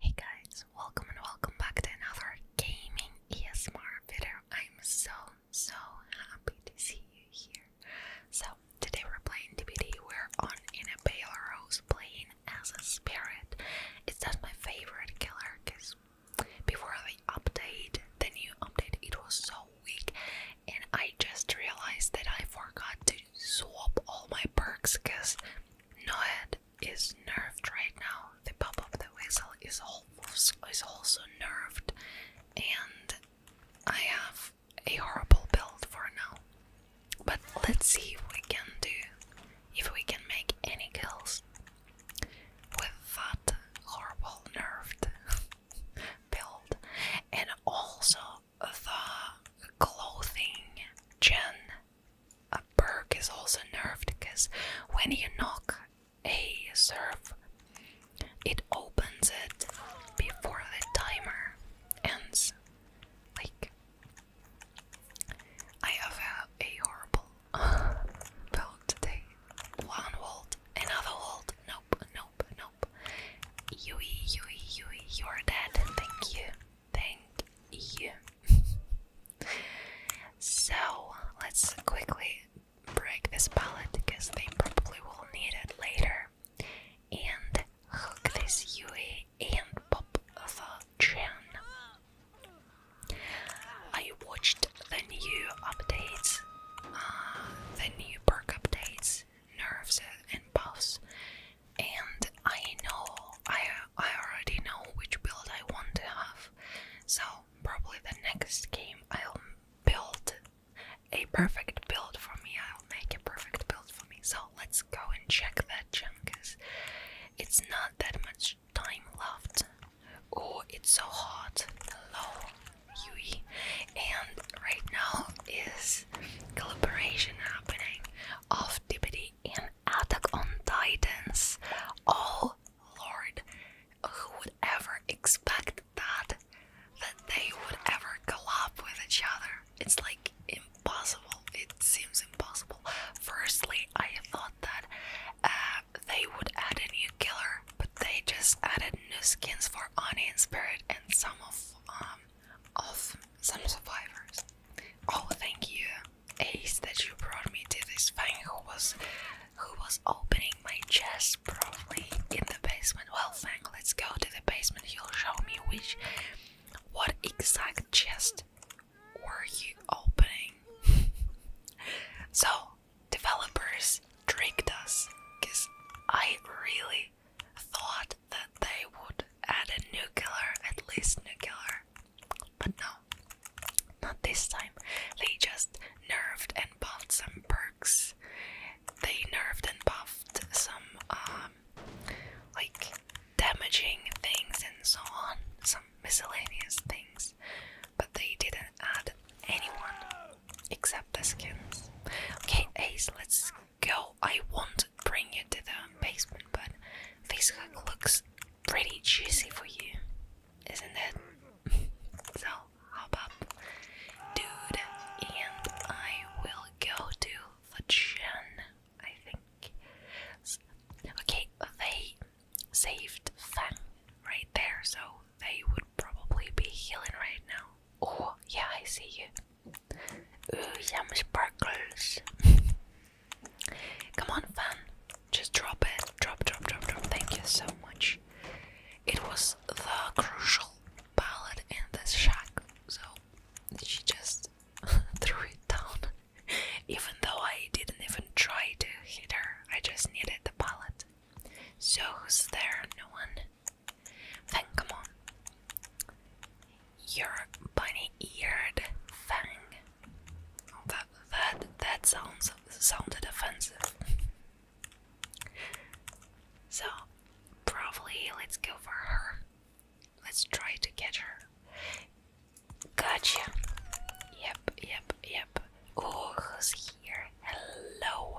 Hey guys, welcome and welcome back to another gaming ESMR video. I'm so so happy to see you here. So today we're playing DBD. We're on in a pale rose playing as a spirit. It's not my favorite killer because before the update, the new update, it was so weak, and I just realized that I forgot to swap all my perks because no head is nerved right now. The pop of the whistle is almost is also nerved, and I have a horrible build for now. But let's see if we can do if we can make any kills with that horrible nerved build, and also the clothing gen a perk is also nerfed because when you knock a surf, it opens it before the timer ends. Like, I have a, a horrible build today. One hold, another hold. Nope, nope, nope. Yui, Yui, Yui, you're dead. Thank you. Thank you. so let's quickly break this palette because they probably will need it later. And hook this Yui and pop the Chen. I watched the new updates, uh, the new perk updates, nerves and puffs. And I know, I, I already know which build I want to have. So, probably the next game I'll build a perfect build for me. I'll make a perfect build for me. So, let's go and check that junk. It's not that much time left. Oh, it's so hot. Hello, Yui. And right now is collaboration happening. Of activity in Attack on Titans. Oh lord, who would ever expect that? That they would ever collab with each other. It's like impossible. It seems impossible. Firstly, I thought that uh, they would add a new killer, but they just added new skins for Ani and Spirit and some of um, of some survivors. Oh, thank you, Ace, that you brought me to this thing who was who was opening my chest probably in the basement. Well, Fang, let's go to the basement. You'll show me which, what exact chest were you opening? so, developers tricked us, cause I really thought that they would add a nuclear, at least nuclear, but no, not this time. They just nerfed and buffed some perks. They nerfed and buffed some, um, like damaging things and so on, some miscellaneous things, but they didn't add anyone except the skins. Okay, Ace, let's Girl, I won't bring you to the basement, but this looks pretty juicy for you, isn't it? so, hop up, dude, and I will go to the gym, I think. Okay, they saved Fang right there, so they would probably be healing right now. Oh, yeah, I see you. Ooh, yum sparkles. Come on, fan. Just drop it. Drop, drop, drop, drop. Thank you so much. It was the crucial palette and the shock, so she just threw it down. Even though I didn't even try to hit her, I just needed the palette. So, who's there? No one. Then come on. Your bunny-eared fang. Oh, that that that sounds sounded offensive. so probably let's go for her. Let's try to get her. Gotcha. Yep, yep, yep. Oh, who's here? Hello.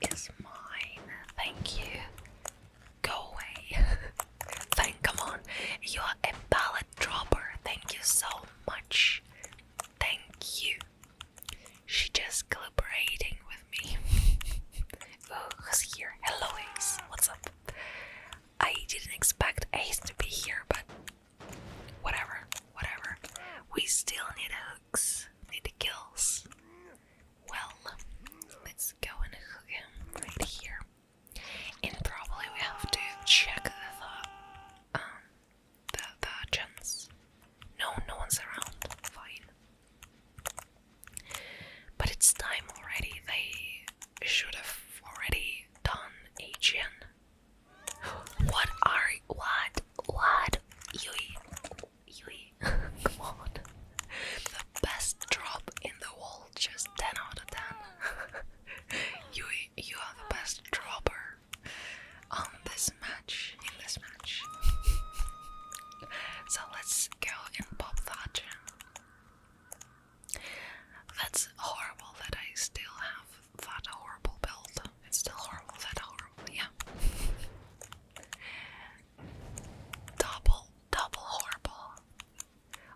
is mine. Thank you. Go away. Thank come on. You are a pallet dropper. Thank you so much. Thank you. She just collaborating with me. Oh, who's here? Hello Ace. What's up? I didn't expect Ace to be here, but whatever, whatever. We still need a looks, it kills. Well, let's go and hook him right here. And probably we have to check the, um, the, the chance. No, no one's around. Fine. But it's time already. They should have already done a gen what are what what Yui Yui? Come on, the best drop in the world. Just ten out of ten. Yui, you are the best dropper on this match. In this match. so let's go and pop that. That's horrible that I still have that horrible build. It's still horrible, that horrible, yeah. double, double horrible.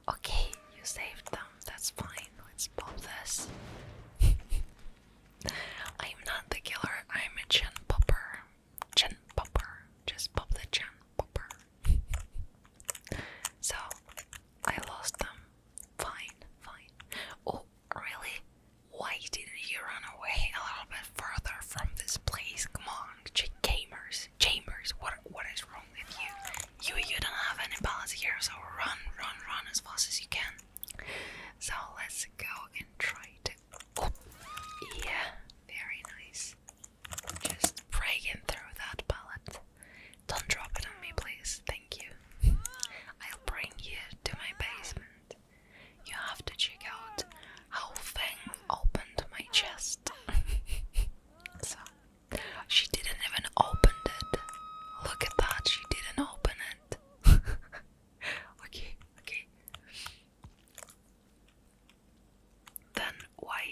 Okay, you saved them, that's fine. Let's pop this. I'm not the killer, I'm a chin popper. Chin popper. Just pop the chin popper. so, I lost them. Fine, fine. Oh, Really? Why didn't you run away a little bit further from this place? Come on, Chambers, Chambers, what what is wrong with you? You you don't have any balance here, so run, run, run as fast as you can. So let's go and try to. yeah, very nice. Just breaking through that pallet. Don't drop it on me, please. Thank you. I'll bring you to my basement. You have to check out whole thing opened my chest. so, she didn't even open it. Look at that, she didn't open it. okay, okay. Then why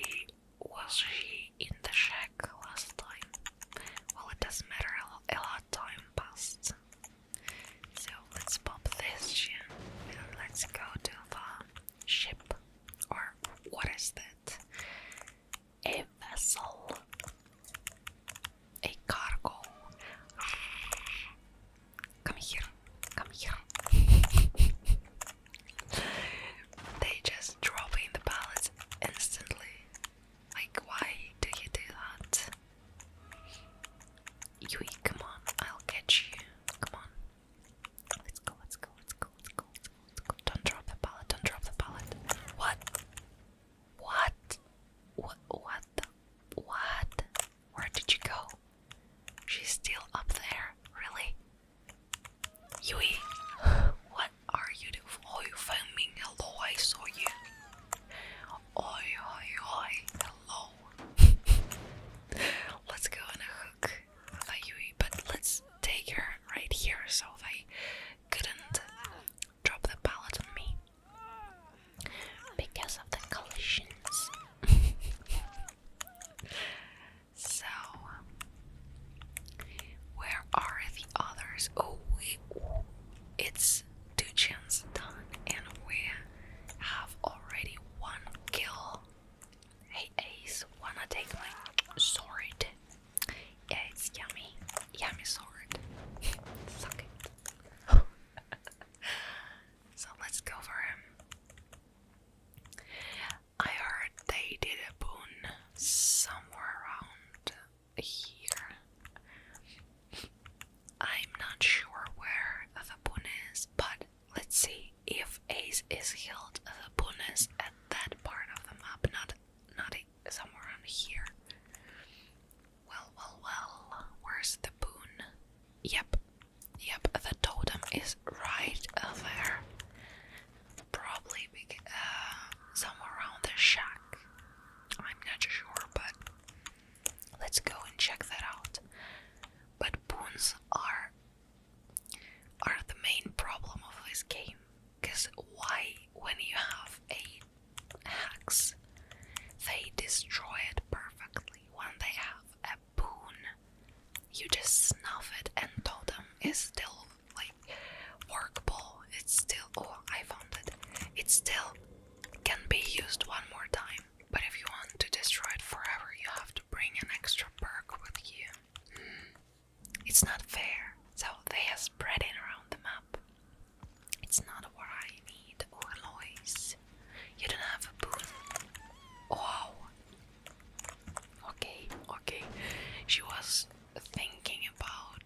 was she in the shack last time? Well, it doesn't matter, a lot time passed. So let's pop this ship let's go to the ship. Or what is that? A vessel. A cargo. Come here. Come here. they just drop in the pallets instantly. Like, why do you do that? Yui, come on, I'll catch you. Come on. Let's go, let's go, let's go, let's go, let's go, let's go. Don't drop the pallet, don't drop the pallet. What? What? What? What? The, what? Where did you go? She's still up there, really? Yui, what? Are you the oh you found me? Hello, I saw you. Oi oi oi, hello. let's go on a hook. But let's take her right here so they couldn't drop the pallet on me. Because of the collisions. so where are the others? Oh, we, it's Duchan's done, and we have already one kill. Hey, Ace, wanna take my sword? Yeah, it's yummy. Yummy sword. Suck it. so let's go for him. I heard they did a boon somewhere around here. I'm not sure where the boon is, but let's see if Ace is healed. The boon is at that part of the map, not not somewhere around here. Well, well, well. Where's the boon? Yep, yep. The totem is right over there probably big, uh, somewhere around the shack. I'm not sure, but let's go and check that out. But boons are are the main problem of this game, because why, when you have a hex, they destroy it perfectly. When they have a boon, you just snuff it, and told them it's still like workable. It's still oh I found it. It still can be used one more time. But if you want to destroy it forever, you have to bring an extra perk with you. Hmm. It's not fair. So they are spreading around the map. It's not what I need. Oh, Eloise. You don't have a boon. Oh, Okay, okay. She was thinking about.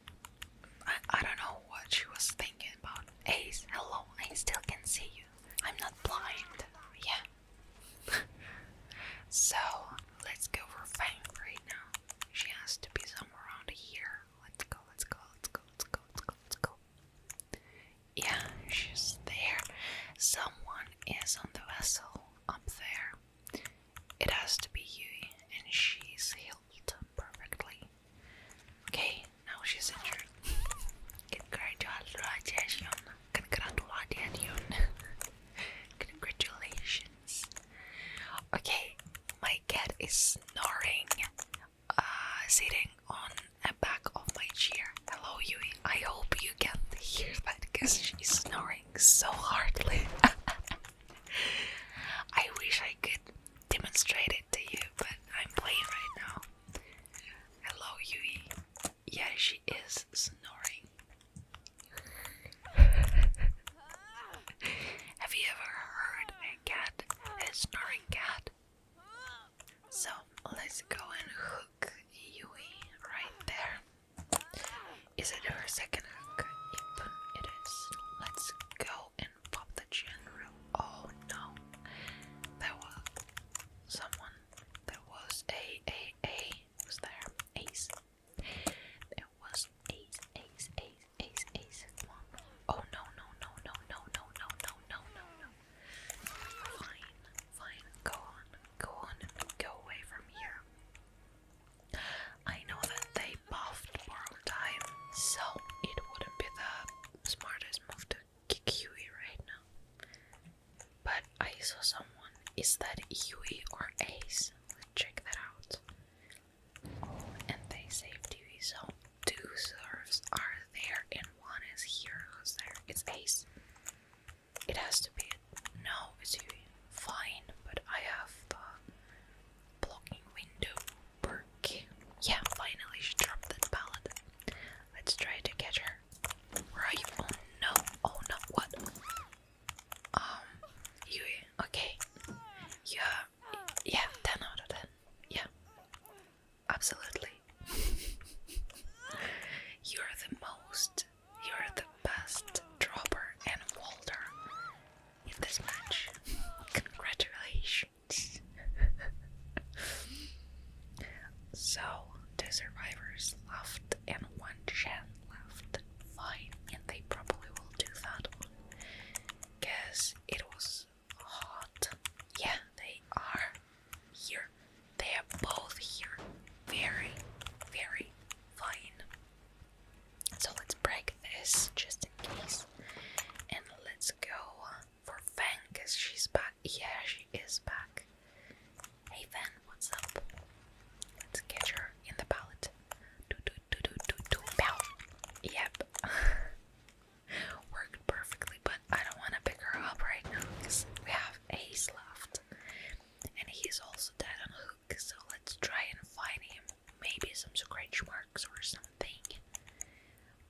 I, I don't know what she was thinking about. Ace, hello, I still can see you. I'm not blind. Yeah. so, let's go for Fang right now. She has to be somewhere around here. Let's go, let's go, let's go, let's go, let's go, let's go. Yeah, she's there. Someone is on the vessel up there. It has to be Yui, and she's healed perfectly. Okay, now she's injured. Congratulations. Congratulations. Congratulations. Okay, my cat is snoring, uh, sitting on the back of my chair. Hello, Yui. I hope you can hear that because she's snoring so hardly. I wish I could demonstrate it to you, but I'm playing right now. Hello, Yui. Yeah, she is snoring. Have you ever heard a cat, a snoring cat? So let's go and hook Yui right there. Is it her second hack? Yep, it is. Let's go and pop the general. Oh no. There was someone. There was a a a was there ace. There was ace ace ace ace ace one. Oh no no no no no no no no no no no. Fine, fine, go on, Go on, go away from here. I know that they buffed borrowed time, so it wouldn't be the smartest move to kick Huey right now. But I saw someone. Is that Huey or Ace? Let's check that out. and they saved Huey, so two serves are there and one is here. Who's there? It's Ace. It has to be. No, it's fine, but I have the blocking window perk. Yeah, finally she dropped the pallet. Let's try to catch her. Where are you? Oh no, oh no, what? Um, Yui, okay. Yeah, yeah, 10 out of 10. Yeah, absolutely. You're the most, you're the best dropper and walder in this match. Congratulations. so, the survivors left and one Shen left. Fine, and they probably will do that one. Guess it was hot. Yeah, they are here. They are both here. Very, very fine. So let's break this just in case. And let's go for Fang because she's back. Yeah, she is back. Hey Fang, what's up? Let's get her in the pallet. Do do do do do do Yep. Worked perfectly probably, but I don't want to pick her up right now because we have Ace left. And he's also dead on Hook, so let's try and find him. Maybe some scratch marks or something.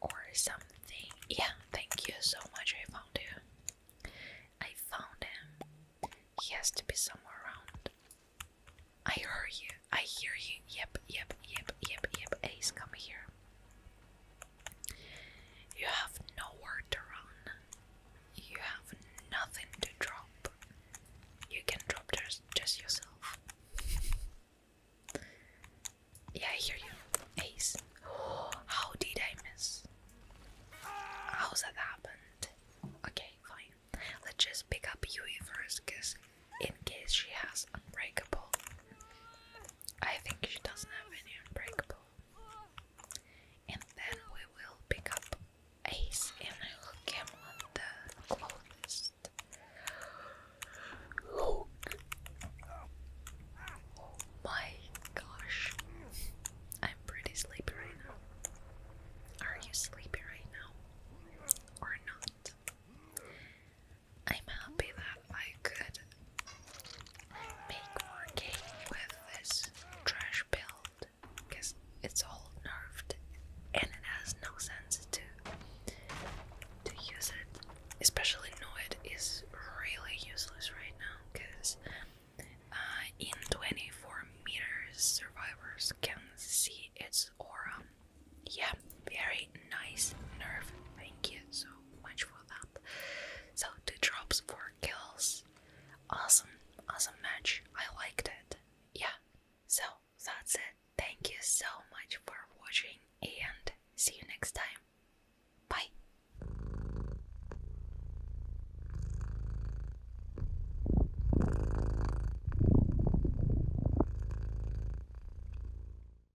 Or something. Yeah, thank you so much. I found him. I found him. He has to be somewhere around. I hear you. I hear you. Yep, yep, yep, yep, yep. Ace, come here. You have nowhere to run. You have nothing to drop. You can drop just, just yourself. Yeah, I hear you. Ace. Oh, how did I miss? How's that happened? Okay, fine. Let's just pick up Yui first, cause in case she has unbreakable. I think she doesn't have any unbreakable. And then we will pick up Ace and I the closest. Oh my gosh. I'm pretty sleepy right now. Are you sleepy right now? Or not? I'm happy that I could make more cake with this trash build because it's all nerfed and it has no sense to to use it. Especially Noid is really useless right now because uh, in 24 meters survivors can see its aura. Yeah, very nice nerf. Thank you so much for that. So two drops, for kills. Awesome, awesome match. I liked it. Yeah. So that's it. Thank you so much for watching and see you next time. Bye.